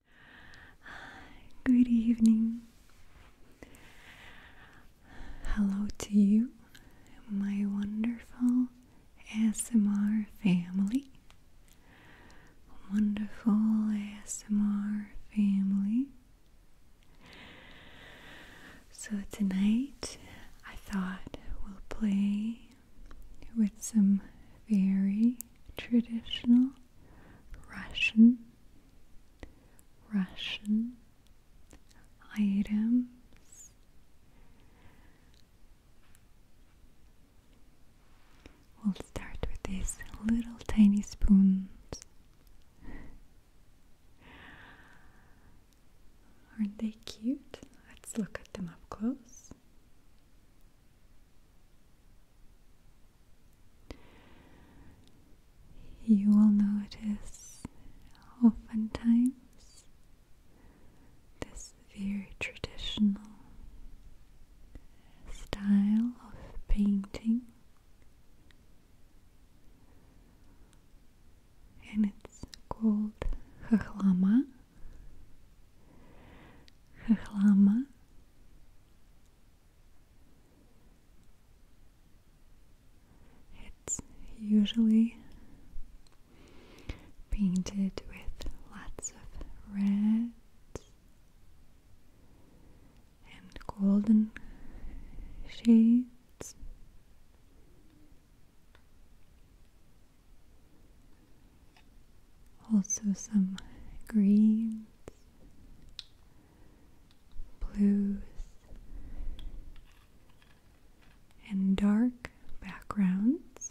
Good evening. Hello to you, my wonderful ASMR family. Wonderful ASMR family. So, tonight I thought we'll play with some very traditional Russian, Russian items. We'll start with these little tiny spoons. Aren't they cute? Let's look at them up close. You will notice oftentimes this very traditional style of painting, and it's called хахлама. Хахлама it's usually painted with lots of reds and golden shades also some greens, blues, and dark backgrounds.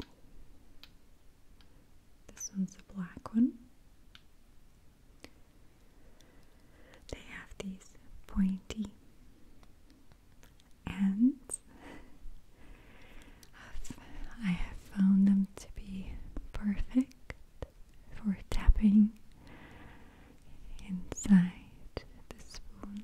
This one's a black one. They have these pointy ends. I've, found them to be perfect for tapping inside the spoon.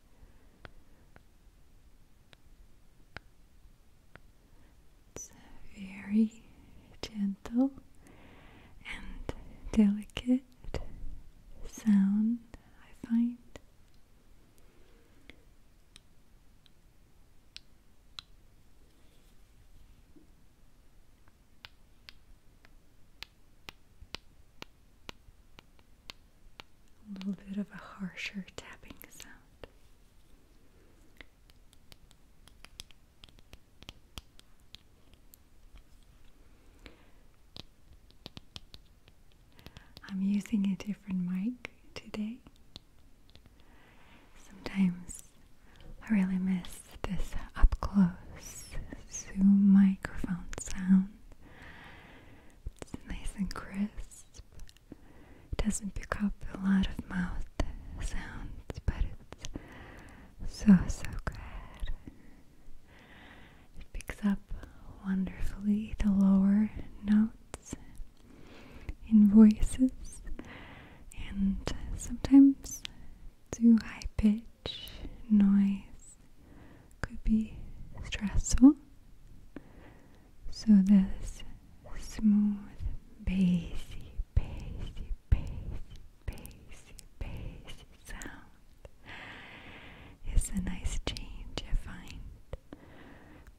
It's a very gentle and delicate sound, I find a little bit of a harsher tapping sound. I'm using a different mic today. Sometimes I really miss this up close Zoom microphone sound. It's nice and crisp it doesn't pick up a lot of mouth sounds, but it's so, so good. It picks up wonderfully the lower notes in voices and sometimes too high pitch noise could be stressful so this smooth, bassy, bassy, bassy, bassy, bassy sound is a nice change, I find.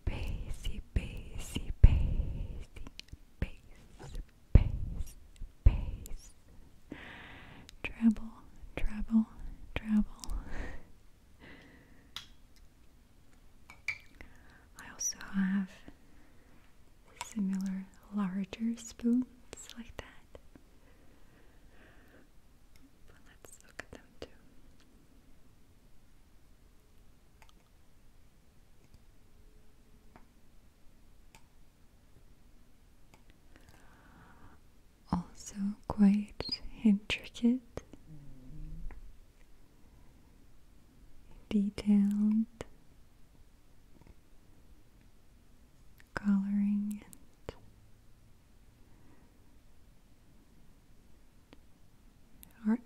Bassy, bassy, bassy, bass, bass, bass. Treble, treble, treble. I also have similar larger spoons like that. But let's look at them too. Also, quite intricate mm-hmm detailed coloring and artwork.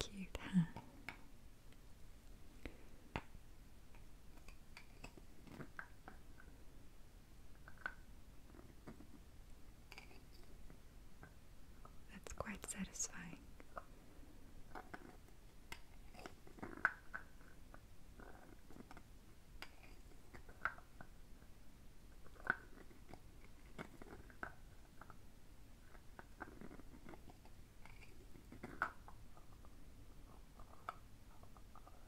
Cute, huh? That's quite satisfying.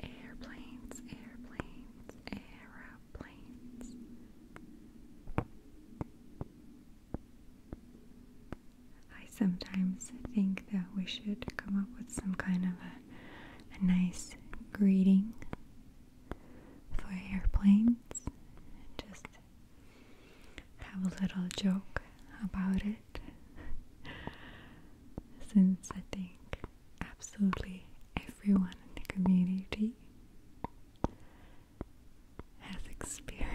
Airplanes, airplanes, aeroplanes. I sometimes think that we should come up with some kind of a, a nice greeting for airplanes and just have a little joke about it since I think absolutely everyone in the community has experience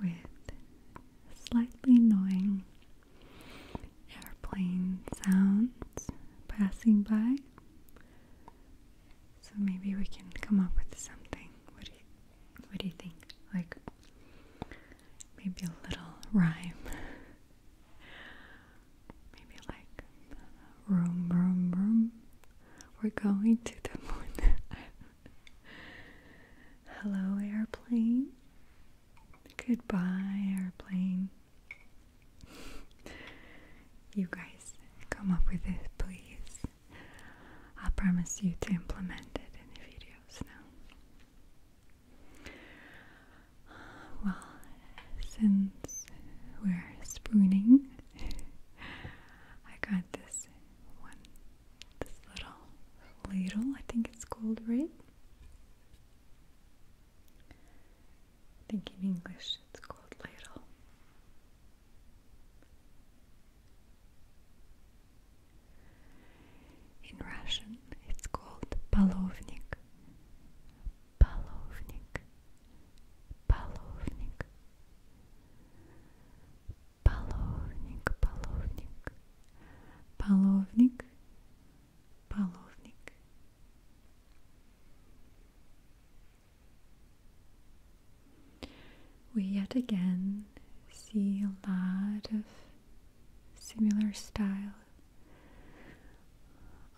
with slightly annoying airplane sounds passing by. So maybe we can come up with something. What do you, what do you think? Like maybe a little rhyme. maybe like room, room, room. We're going to the moon. Hello, airplane. Goodbye, airplane you guys come up with this, please. I promise you to implement it in the videos now. Well, since we're spooning, I got this one, this little ladle, I think it's called, right? I think in English it's called ladle. In Russian it's called palovnik. Palovnik. Palovnik. Palovnik, palovnik. Palovnik we yet again see a lot of similar style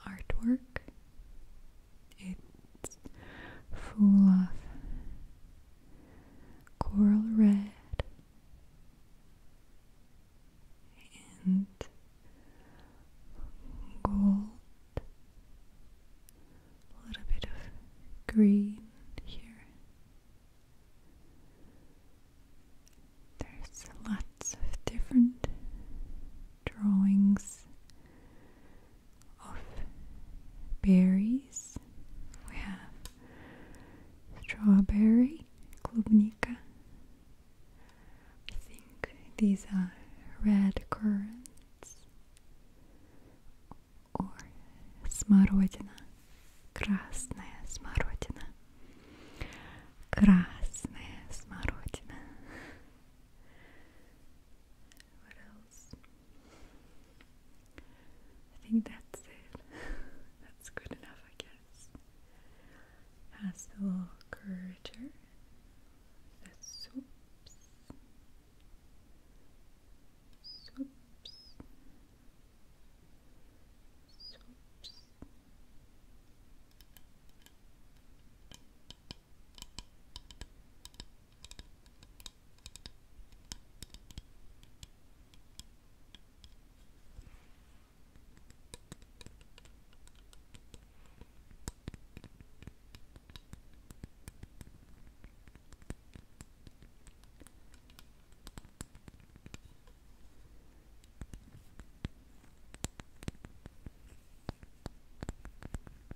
artwork. It's full of coral red and gold, a little bit of green here. There's lots of different drawings of berries. We have strawberry, klubnika, I think these are red currants or smarodina. Красная смородина. Красная смородина. What else? I think that's it. that's good enough, I guess. Has curvature the soups, soups,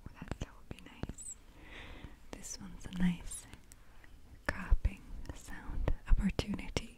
well, that, be nice. This one's a nice cropping sound opportunity.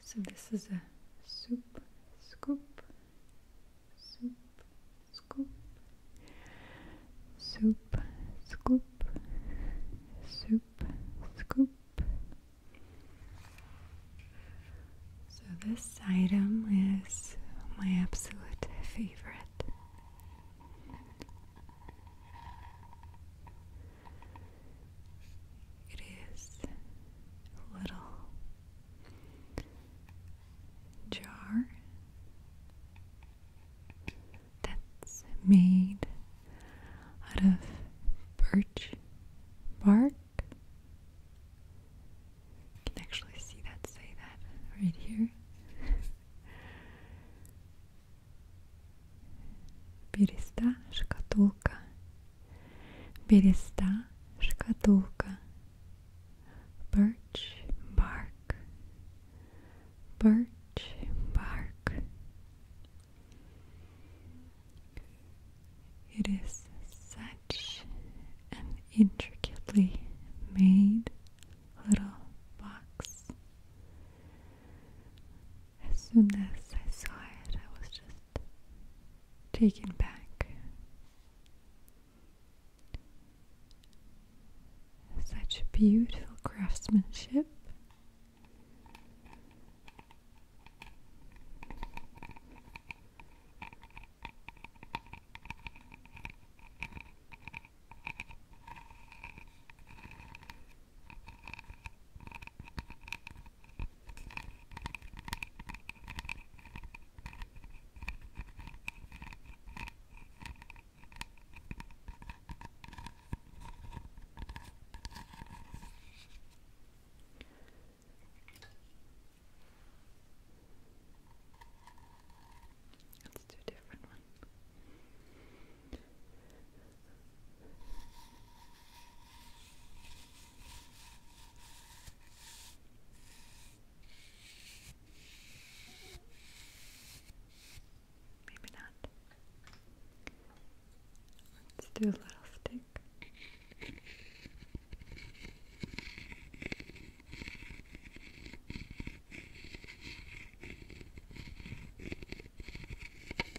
So this is a soup scoop, soup scoop, soup scoop, soup scoop. So this item is my absolute favorite. It is a little jar that's made out of birch bark. You can actually see that say that right here. Береста, шкатулка. Береста, шкатулка. Birch bark. Birch bark. It is such an intricately made little box. As soon as I saw it, I was just taken back. Such beautiful craftsmanship. Let's do a different one. Maybe not. Let's do a little stick.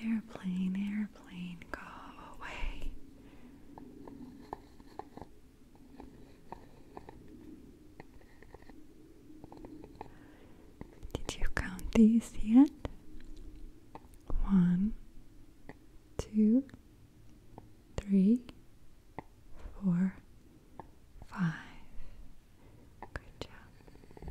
Airplane, airplane, go away. Did you count these yet? One, two, three, four, five. Good job.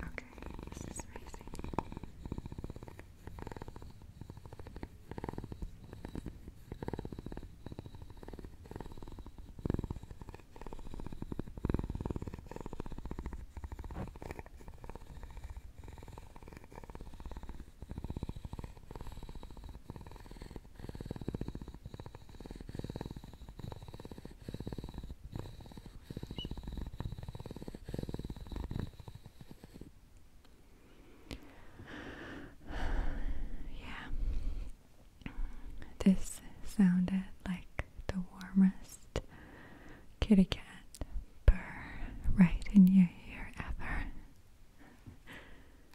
Okay, this is amazing. Okay yeah, this sounded like the warmest kitty cat purr right in your ear ever.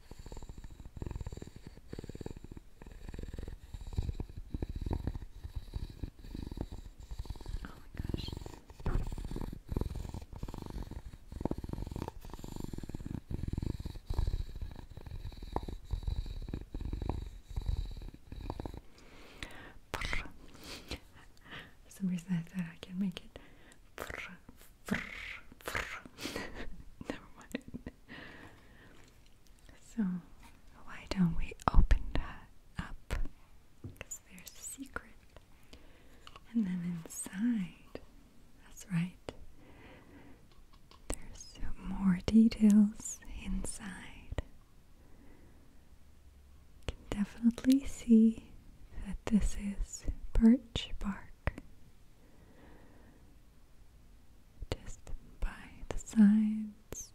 Oh some reason I thought I can make it. So, why don't we open that up? Because there's a secret. And then inside, that's right, there's more details inside. You can definitely see that this is birch bark just by the sides.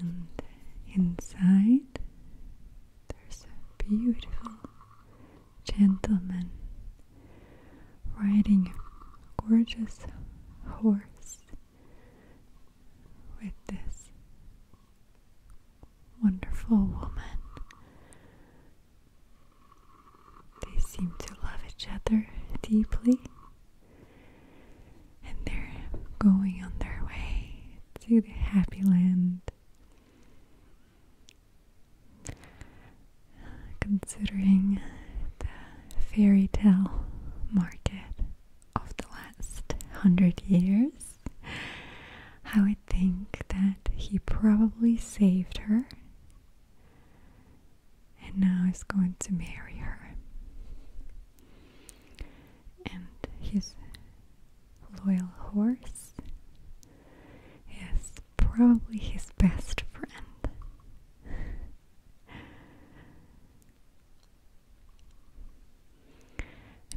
And inside, there's a beautiful gentleman riding a gorgeous horse with this wonderful woman. They seem to love each other deeply, and they're going on their way to the happy land. Considering the fairy tale market of the last hundred years. I would think that he probably saved her and now is going to marry her. And his loyal horse is probably his best friend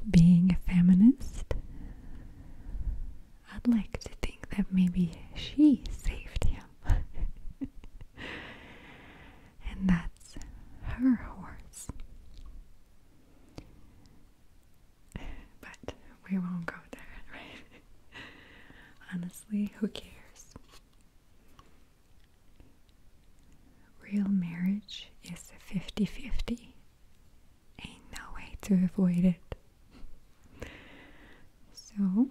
being a feminist, I'd like to think that maybe she saved him. and that's her horse. But we won't go there, right? Honestly, who cares? Real marriage is 50 50. Ain't no way to avoid it. so,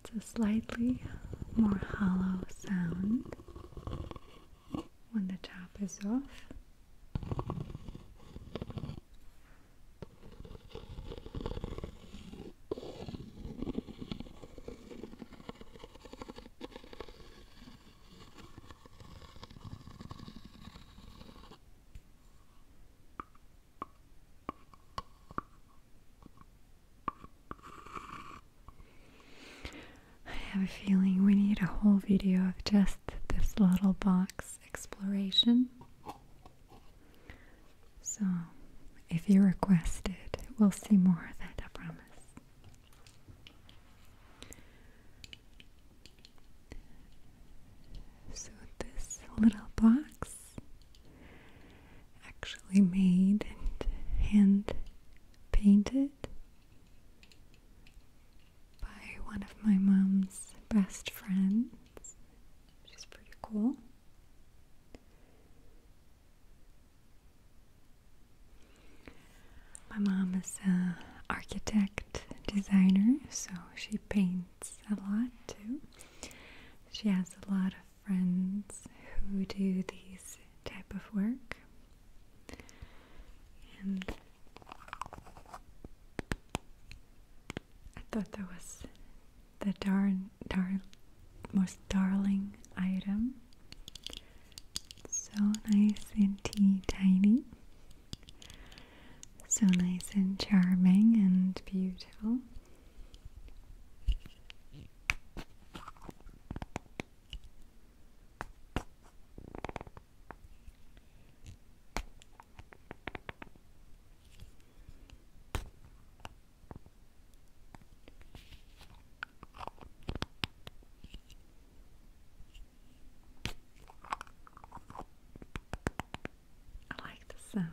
it's a slightly more hollow sound when the top is off. I have a feeling we need a whole video of just this little box exploration. So, if you request it, we'll see more of that, I promise. So, this little box actually made and hand painted by one of my mom's best friends, which is pretty cool. My mom is an architect designer, so she paints a lot too. She has a lot of friends who do these type of work. And I thought that was the darn, darn, most darling item. So nice and tea tiny. So nice and charming and beautiful. I like the sound.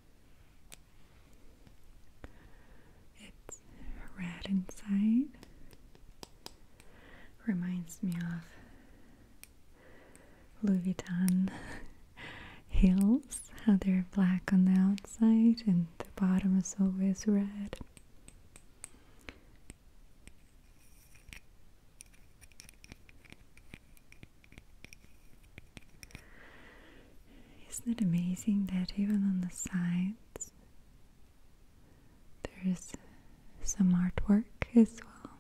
It's red inside. Reminds me of Louis Vuitton heels, how they're black on the outside and the bottom is always red. Isn't it amazing that even on the sides there is some artwork as well?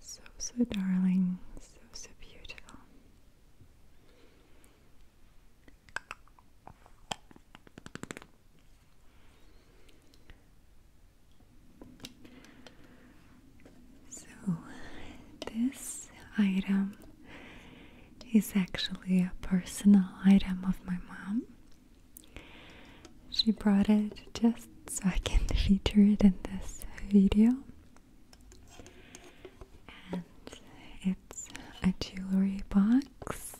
So, so darling, so, so beautiful. So, this item is actually a personal item of my mom. She brought it just so I can feature it in this video. And it's a jewelry box.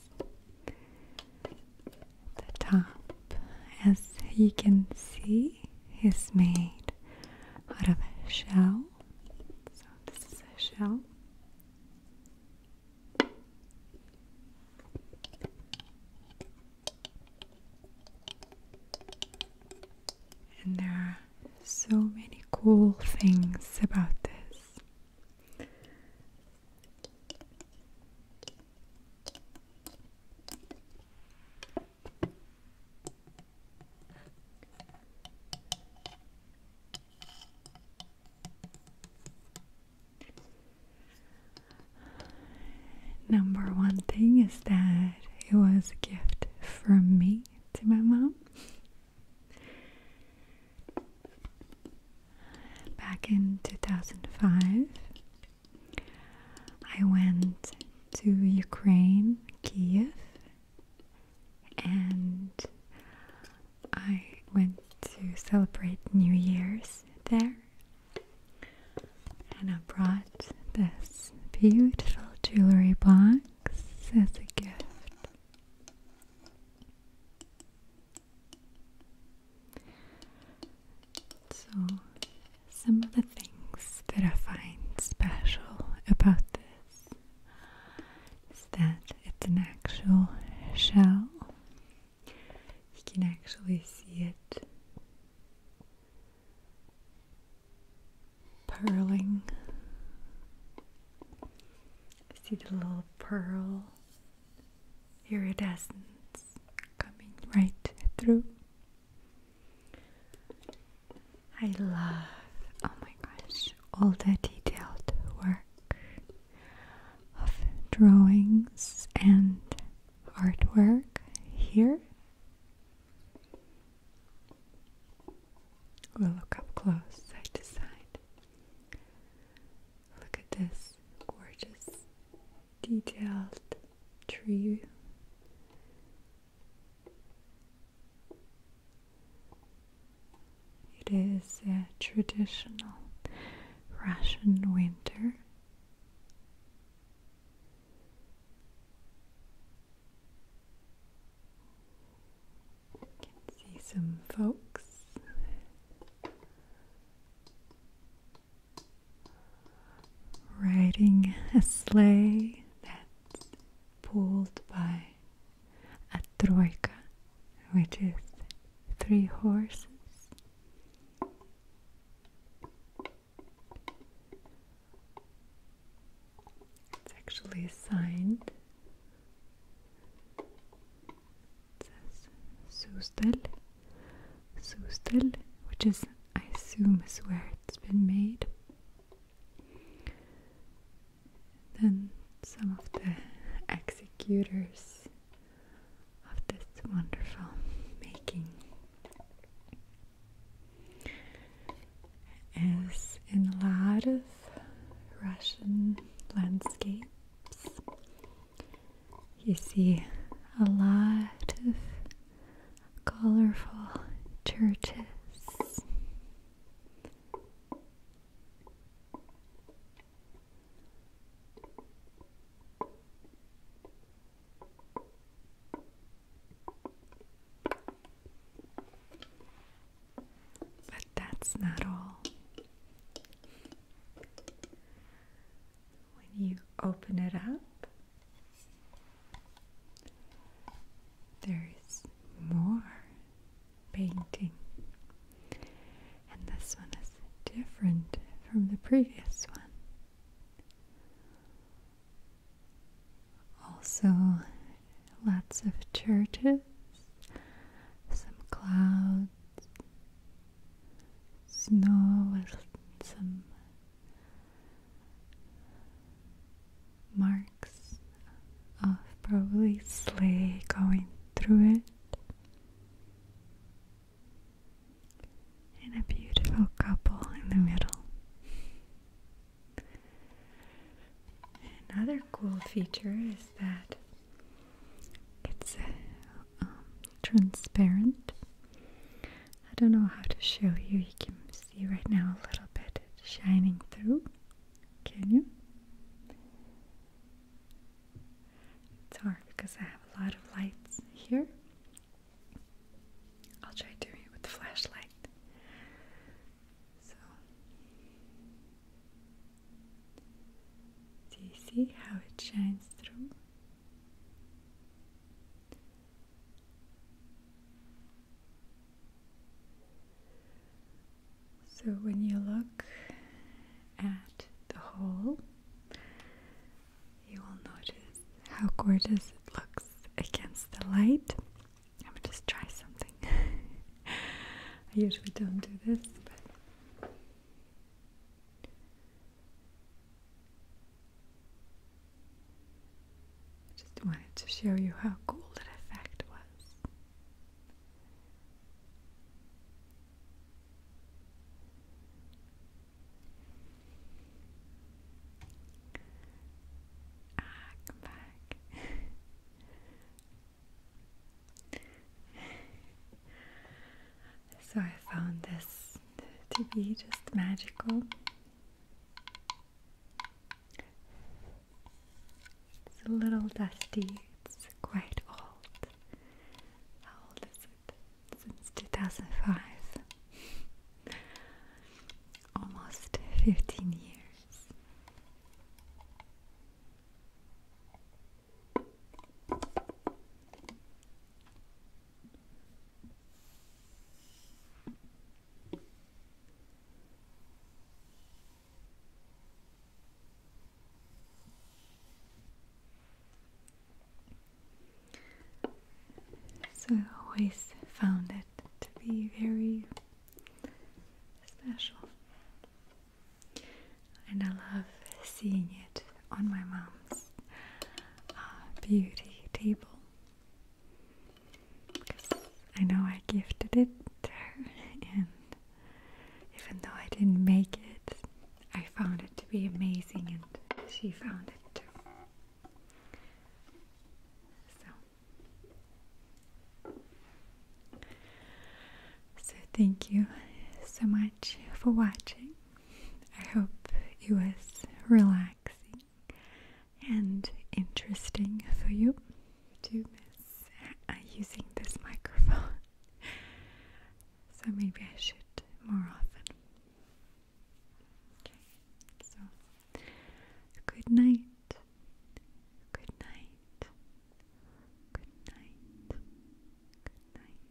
The top, as you can see, is made out of a shell. So this is a shell. And there are so many cool things about this. Number one thing is that it was a gift from me to my mom. Back in 2005, I went to Ukraine, Kiev, and I went to celebrate New Year's there. And I brought this beautiful jewelry box as a gift. So, some of the things that I find special about this is that it's an actual shell. You can actually see it purling. See the little pearl iridescence coming right through. I love, oh my gosh, all the detailed work of drawings and artwork here. We'll look up close side to side. Look at this gorgeous detailed tree it is a traditional Russian winter. can see some folks riding a sleigh that's pulled by a troika, which is three horses. It's actually signed. It says Sustel, Sustel, which is, I assume, is where it's been made. Then some of the executors of this wonderful making. As in a lot of Russian landscapes, you see a lot of colorful churches. But that's not all. When you open it up, there is more painting, and this one is different from the previous one. Also, lots of churches, some clouds, snow some marks of probably sleigh going through it. And a beautiful couple in the middle. Another cool feature is that it's um, transparent, I don't know how to show you. You can see right now a little bit shining through. Can you? It's hard because I have a lot of lights here. I'll try doing it with the flashlight. So, do you see how it shines through? So when you look at the hole, you will notice how gorgeous it looks against the light. I'm just try something. I usually don't do this, but I just wanted to show you how cool that effect was. Ah, come back. so I found this to be just magical. It's a little dusty, it's quite old. How old is it? Since 2005. Almost 15 years. So I always found it to be very special. And I love seeing it on my mom's uh, beauty table. I know I gifted it to her, and even though I didn't make it, I found it to be amazing, and she found it too. So, so thank you so much for watching. I hope it was relaxing and interesting for you to miss uh, using this microphone. so maybe I should more often. Okay, so good night. Good night. Good night. Good night.